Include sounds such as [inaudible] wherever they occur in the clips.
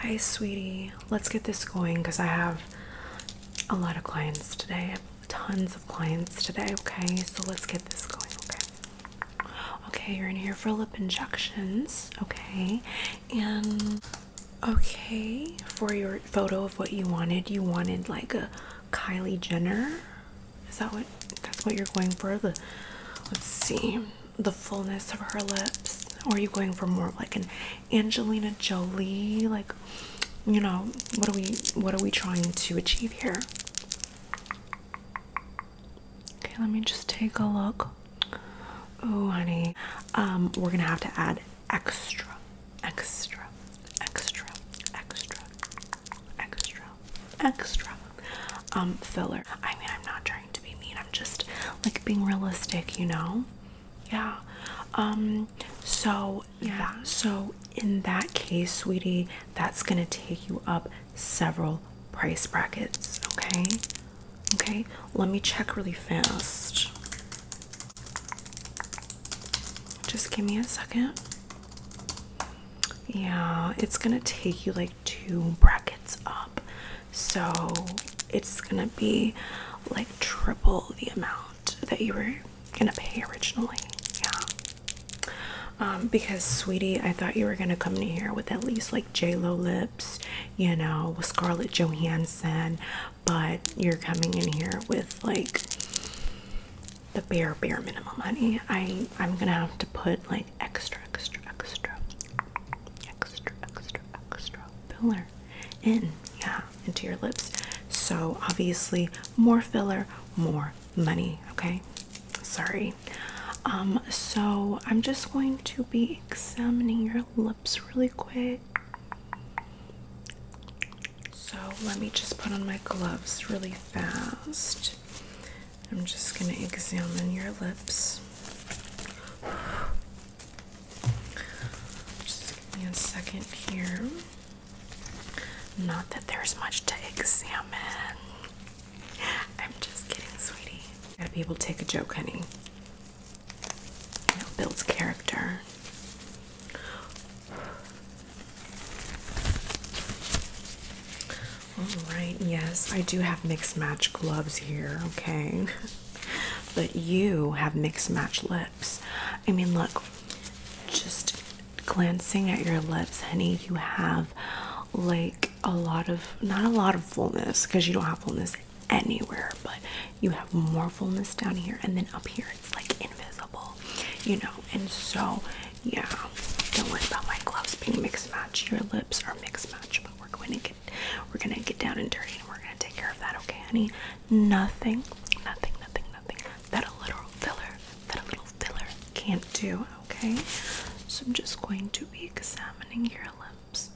Hi, sweetie. Let's get this going because I have a lot of clients today. Tons of clients today, okay? So let's get this going, okay? Okay, you're in here for lip injections, okay? And okay, for your photo of what you wanted, you wanted like a Kylie Jenner. Is that what that's what you're going for? The let's see the fullness of her lips? Or are you going for more like an Angelina Jolie? Like, you know, what are we what are we trying to achieve here? Okay, let me just take a look. Oh honey. Um, we're gonna have to add extra, extra, extra, extra, extra, extra, um, filler. I mean I'm not trying to be mean. I'm just like being realistic, you know? Yeah. Um, so yeah. so in that case, sweetie, that's gonna take you up several price brackets, okay? Okay, let me check really fast. Just give me a second. Yeah, it's gonna take you like two brackets up, so it's gonna be like triple the amount that you were gonna pay originally. Yeah, um, because sweetie, I thought you were gonna come in here with at least like J Lo lips, you know, with Scarlett Johansson, but you're coming in here with like the bare bare minimum money. i i'm gonna have to put like extra, extra, extra, extra, extra, extra filler in, yeah, into your lips. So obviously, more filler, more money. Okay, sorry. Um, so I'm just going to be examining your lips really quick. So let me just put on my gloves really fast. I'm just going to examine your lips. Just give me a second here. Not that there's much to examine. I'm just kidding, sweetie. Gotta be able to take a joke, honey. You know, builds character. All right, yes, I do have mixed match gloves here, okay? [laughs] But you have mixed match lips. I mean, look, just glancing at your lips, honey, you have like a lot of, not a lot of fullness, because you don't have fullness anywhere, but you have more fullness down here, and then up here, it's like invisible, you know? And so, yeah, don't worry about my gloves being mixed match. Your lips are mixed match, but we're going to get we're gonna get down and dirty and we're gonna take care of that, okay, honey? Nothing, nothing, nothing, nothing that little filler, that little filler can't do, okay? So I'm just going to be examining your lips.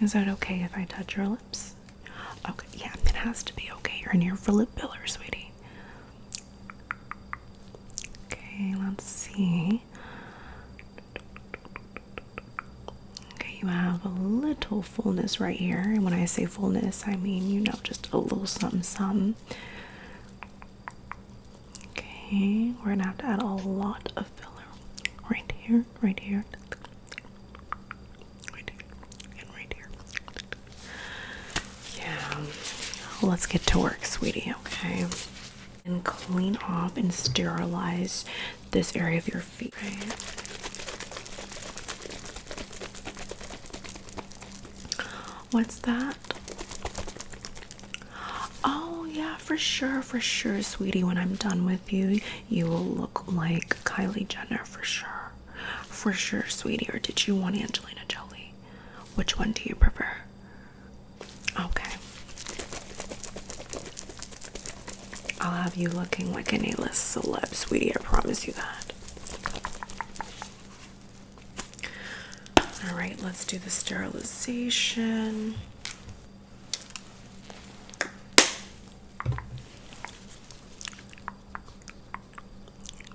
Is that okay if I touch your lips? Okay, yeah, it has to be okay. You're in here for lip filler, sweetie. Okay, let's see. Okay, you have a little fullness right here. And when I say fullness, I mean, you know, just a little something, something. Okay, we're gonna have to add a lot of filler right here, right here, right here, and right here. Yeah. let's get to work, sweetie, okay? And clean off and sterilize this area of your feet. What's that? Oh, yeah, for sure, for sure, sweetie. When I'm done with you, you will look like Kylie Jenner for sure. For sure, sweetie. Or did you want Angelina Jolie? Which one do you prefer? Okay. I'll have you looking like an A-list celeb, sweetie. I promise you that. All right, let's do the sterilization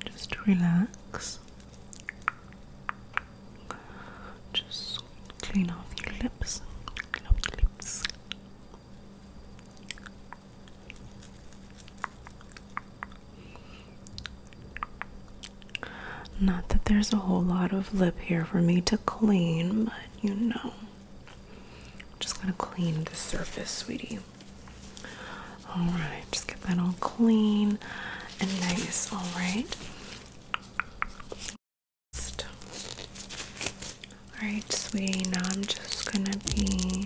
just relax. Just clean off your lips. Clean lips. Not that there's a whole lot of lip here for me to clean, but you know. just got to clean the surface, sweetie. All right, just get that all clean and nice. All right. All right, sweetie. Now I'm just gonna be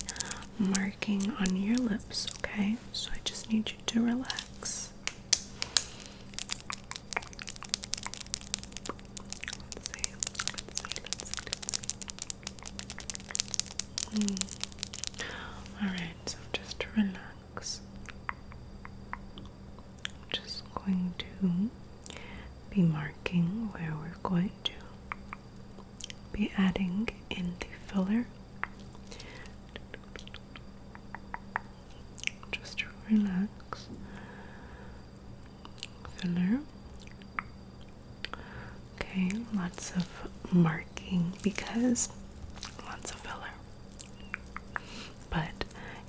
marking on your lips. Okay, so I just need you to relax. Hmm. All right. So just to relax. I'm just going to be marking where we're going to be adding in the filler just to relax filler okay lots of marks working because lots a filler. But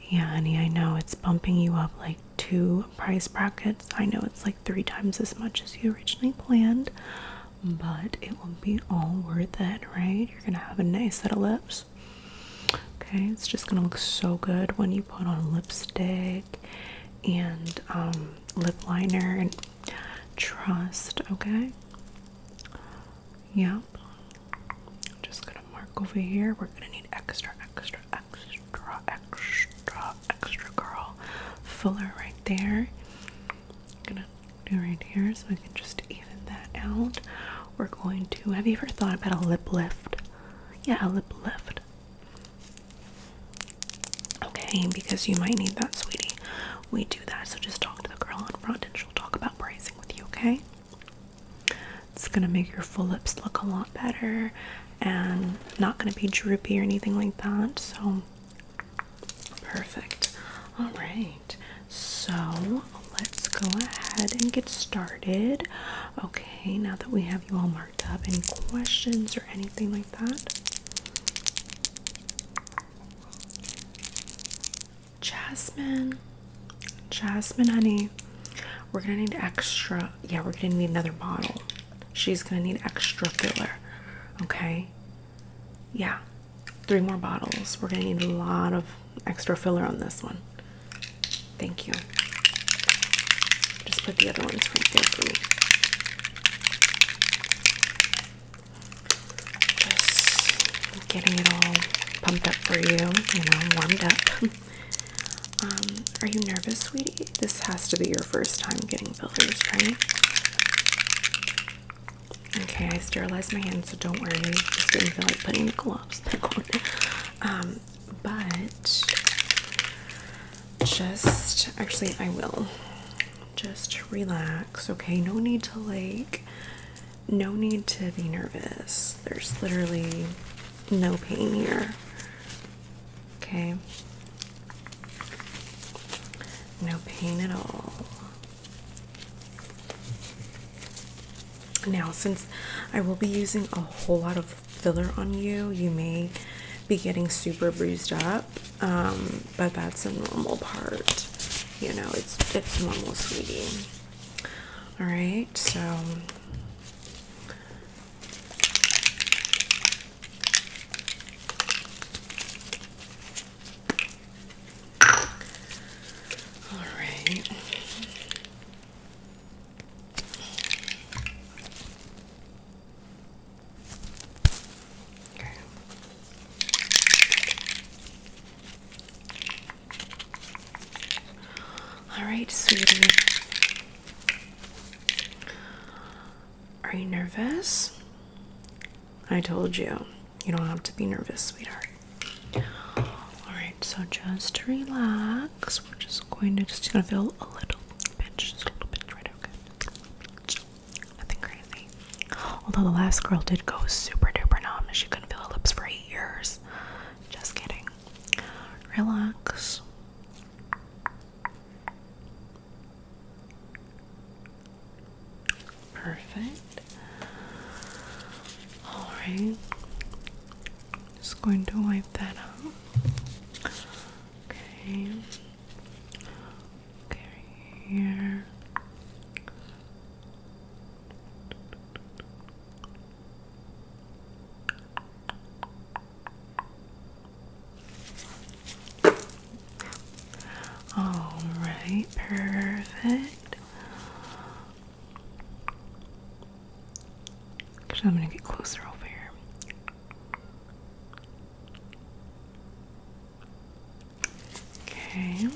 yeah, honey, I know it's bumping you up like two price brackets. I know it's like three times as much as you originally planned, but it will be all worth it, right? You're gonna have a nice set of lips. Okay, it's just gonna look so good when you put on lipstick and um, lip liner and Trust, okay? Yep. Just gonna mark over here. We're gonna need extra, extra, extra, extra, extra girl fuller right there. I'm gonna do right here so we can just even that out. We're going to have you ever thought about a lip lift? Yeah, a lip lift. Okay, because you might need that, sweetie we do that. So just talk to the girl in front and she'll talk about braising with you, okay? It's gonna make your full lips look a lot better and not gonna be droopy or anything like that. So perfect. All right, so let's go ahead and get started. Okay, now that we have you all marked up, any questions or anything like that? Jasmine, Jasmine, honey, we're gonna need extra. Yeah, we're gonna need another bottle. She's gonna need extra filler, okay? Yeah, three more bottles. We're gonna need a lot of extra filler on this one. Thank you. Just put the other ones right there for me. Just getting it all pumped up for you, you know, warmed up. [laughs] Um, are you nervous, sweetie? This has to be your first time getting fillers, right? Okay, I sterilized my hands, so don't worry. Just didn't feel like putting the gloves [laughs] back on. Um, but just actually, I will just relax, okay? No need to like, no need to be nervous. There's literally no pain here, okay? No pain at all. Now, since I will be using a whole lot of filler on you, you may be getting super bruised up um, but that's a normal part. You know, it's it's normal, sweetie. All right, so. All right. All right, sweetie. Are you nervous? I told you. You don't have to be nervous, sweetheart. Alright, so just relax. We're just going to just gonna feel a little pinch, just a little bit, right okay. Nothing crazy. Although the last girl did go super duper numb. She couldn't feel her lips for eight years. Just kidding. Relax. Perfect. Alright. Just going to wipe that out. Okay. Okay, here. All right, perfect. Actually, I'm gonna get closer over here. Okay.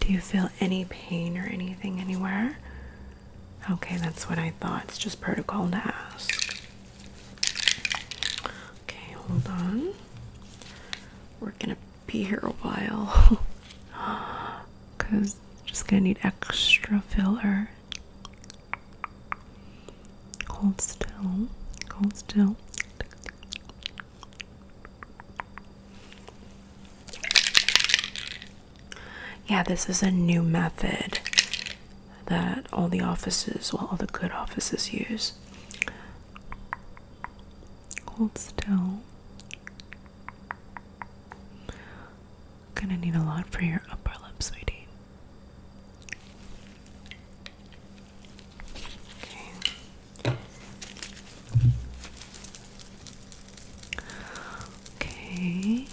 Do you feel any pain or anything anywhere? Okay, that's what I thought. It's just protocol to ask. Okay, hold on. We're gonna be here a while because [gasps] just gonna need extra filler. Hold still. Hold still. Yeah, this is a new method that all the offices, well, all the good offices use. Hold still. Gonna need a lot for your upper lip, sweetie. Okay.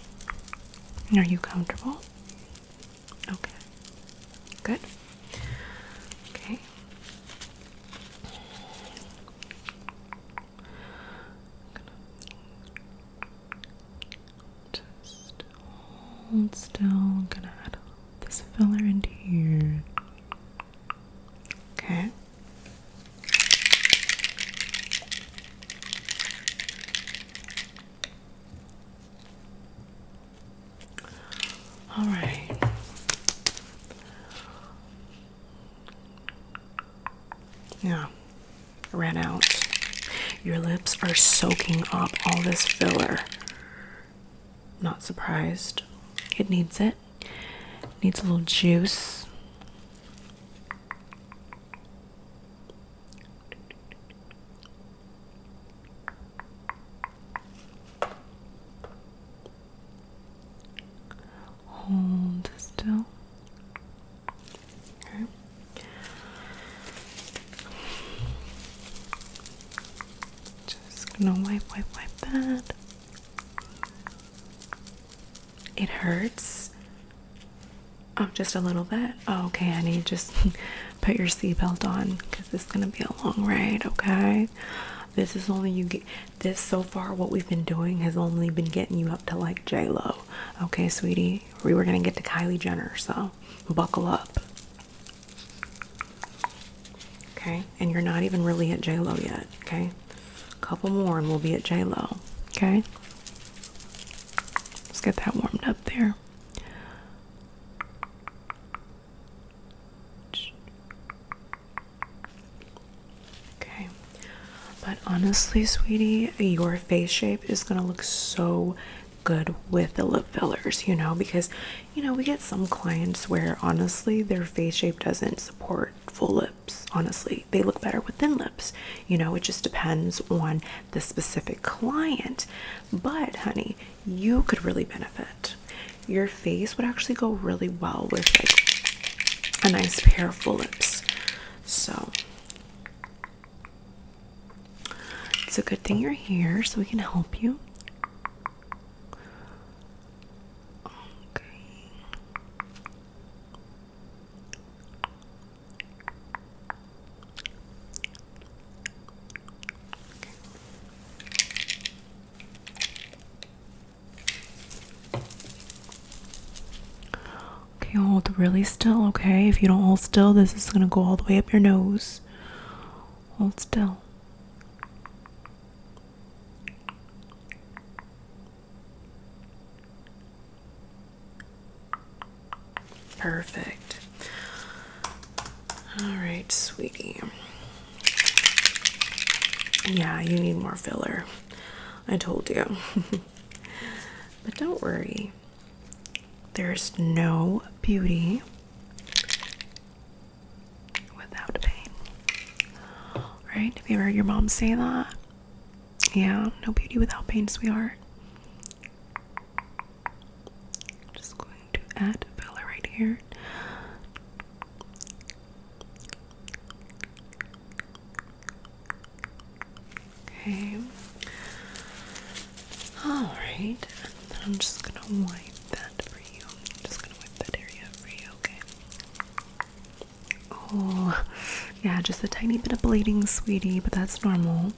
Okay. Are you comfortable? Okay. Good. Okay. Just hold still. I'm gonna add this filler into here. Okay. All right. Yeah ran out. Your lips are soaking up all this filler. Not surprised. It needs it. Needs a little juice. Hold still. Just gonna wipe, wipe, wipe that. It hurts. Oh, just a little bit. Oh, okay, I need just [laughs] put your seatbelt on because it's gonna be a long ride. Okay. This is only you get. This so far, what we've been doing has only been getting you up to like J Lo. Okay, sweetie. We were going to get to Kylie Jenner, so buckle up. Okay, and you're not even really at J Lo yet. Okay, a couple more and we'll be at J Lo. Okay, let's get that warmed up there. Okay, but honestly, sweetie, your face shape is gonna look so good with the lip fillers, you know, because you know, we get some clients where honestly their face shape doesn't support full lips. Honestly, they look better with thin lips, you know, it just depends on the specific client. But, honey, you could really benefit. Your face would actually go really well with like a nice pair of full lips. So, it's a good thing you're here so we can help you. Okay. Okay, hold really still, okay? If you don't hold still, this is gonna go all the way up your nose. Hold still. Perfect. All right, sweetie. Yeah, you need more filler. I told you. [laughs] [laughs] but don't worry, there's no beauty without pain. Right? Have you ever heard your mom say that? Yeah, no beauty without pain, sweetheart. just going to add filler right here. Okay. All right. I'm just gonna wipe that for you. I'm just gonna wipe that area for you. Okay. Oh, yeah. Just a tiny bit of bleeding, sweetie, but that's normal.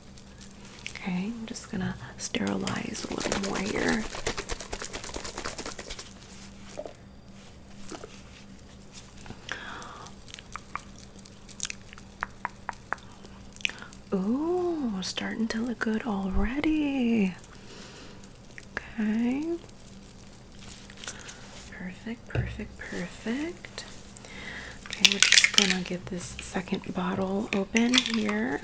Okay. I'm just gonna sterilize a little more here. Ooh, starting to look good already. Okay. Perfect, perfect, perfect. Okay, we're just gonna get this second bottle open here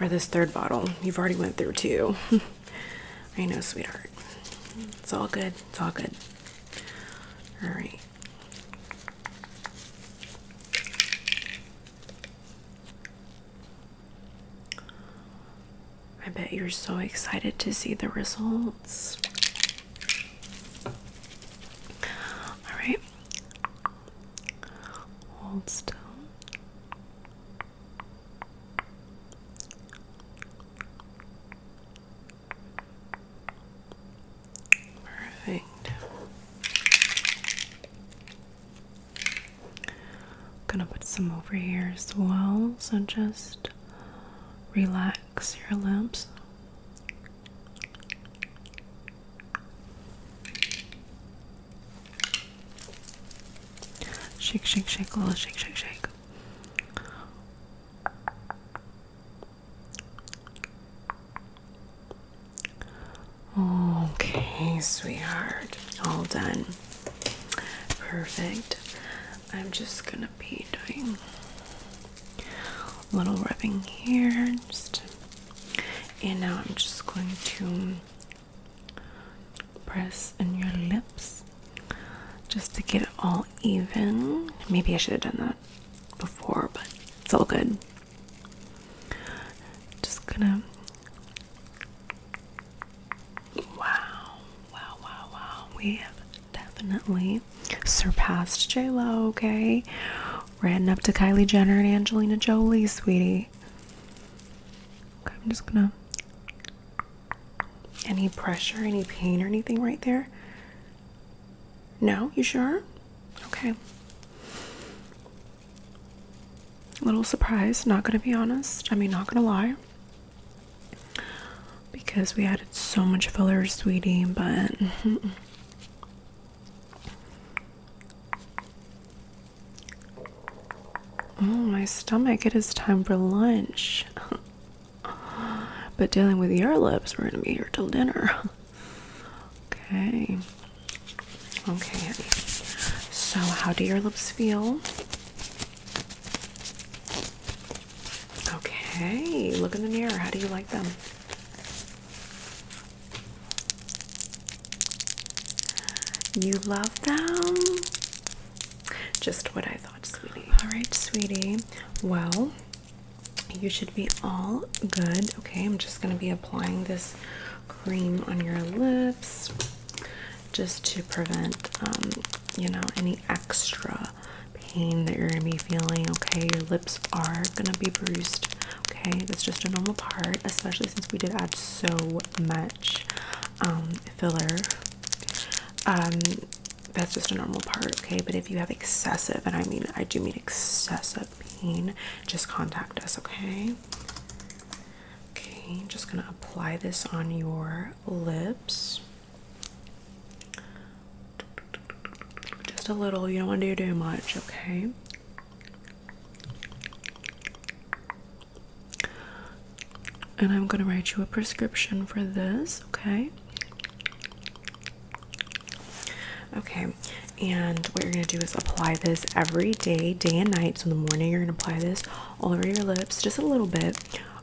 or this third bottle. You've already went through two. [laughs] I know, sweetheart. It's all good. It's all good. All right. I bet you're so excited to see the results. All right. Hold still. Perfect. I'm gonna put some over here as well, so just relax your lips. Shake, shake, shake, a oh, little shake, shake, shake. Okay, sweetheart, all done. Perfect. I'm just gonna be doing a little rubbing here, just, and now I'm just going to press in your lips just to get it all even. Maybe I should have done that before, but it's all good. Just gonna. Wow, wow, wow, wow. We have definitely surpassed J-Lo, okay? Ran up to Kylie Jenner and Angelina Jolie, sweetie. I'm just gonna. Any pressure, any pain, or anything right there? No, you sure? Okay. A little surprise. not gonna be honest. I mean, not gonna lie. Because we added so much filler, sweetie, but. [laughs] Oh, my stomach, it is time for lunch. [laughs] but dealing with your lips, we're gonna be here till dinner. [laughs] okay. Okay, So, how do your lips feel? Okay, look in the mirror. How do you like them? You love them? Just what I thought, sweetie. All right, sweetie. Well, you should be all good. Okay, I'm just going to be applying this cream on your lips just to prevent, um, you know, any extra pain that you're going to be feeling. Okay, your lips are gonna be bruised. Okay, that's just a normal part, especially since we did add so much um, filler. Um, that's just a normal part, okay? But if you have excessive, and I mean, I do mean excessive pain, just contact us, okay? Okay, just gonna apply this on your lips. Just a little, you don't want to do too much, okay? And I'm going to write you a prescription for this, okay? Okay, and what you're going to do is apply this every day, day and night. So in the morning, you're going to apply this all over your lips, just a little bit.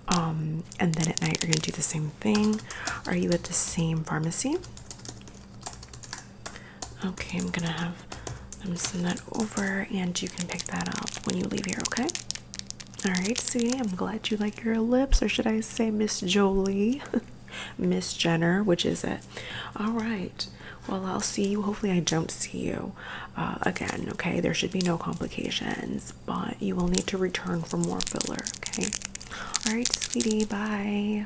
Um, and then at night, you're going to do the same thing. Are you at the same pharmacy? Okay, I'm gonna have them send that over and you can pick that up when you leave here, okay? Alright, sweetie, I'm glad you like your lips, or should I say Miss Jolie? [laughs] Miss Jenner, which is it? Alright. Well, I'll see you. Hopefully, I don't see you uh, again, okay? There should be no complications, but you will need to return for more filler, okay? All right, sweetie, bye.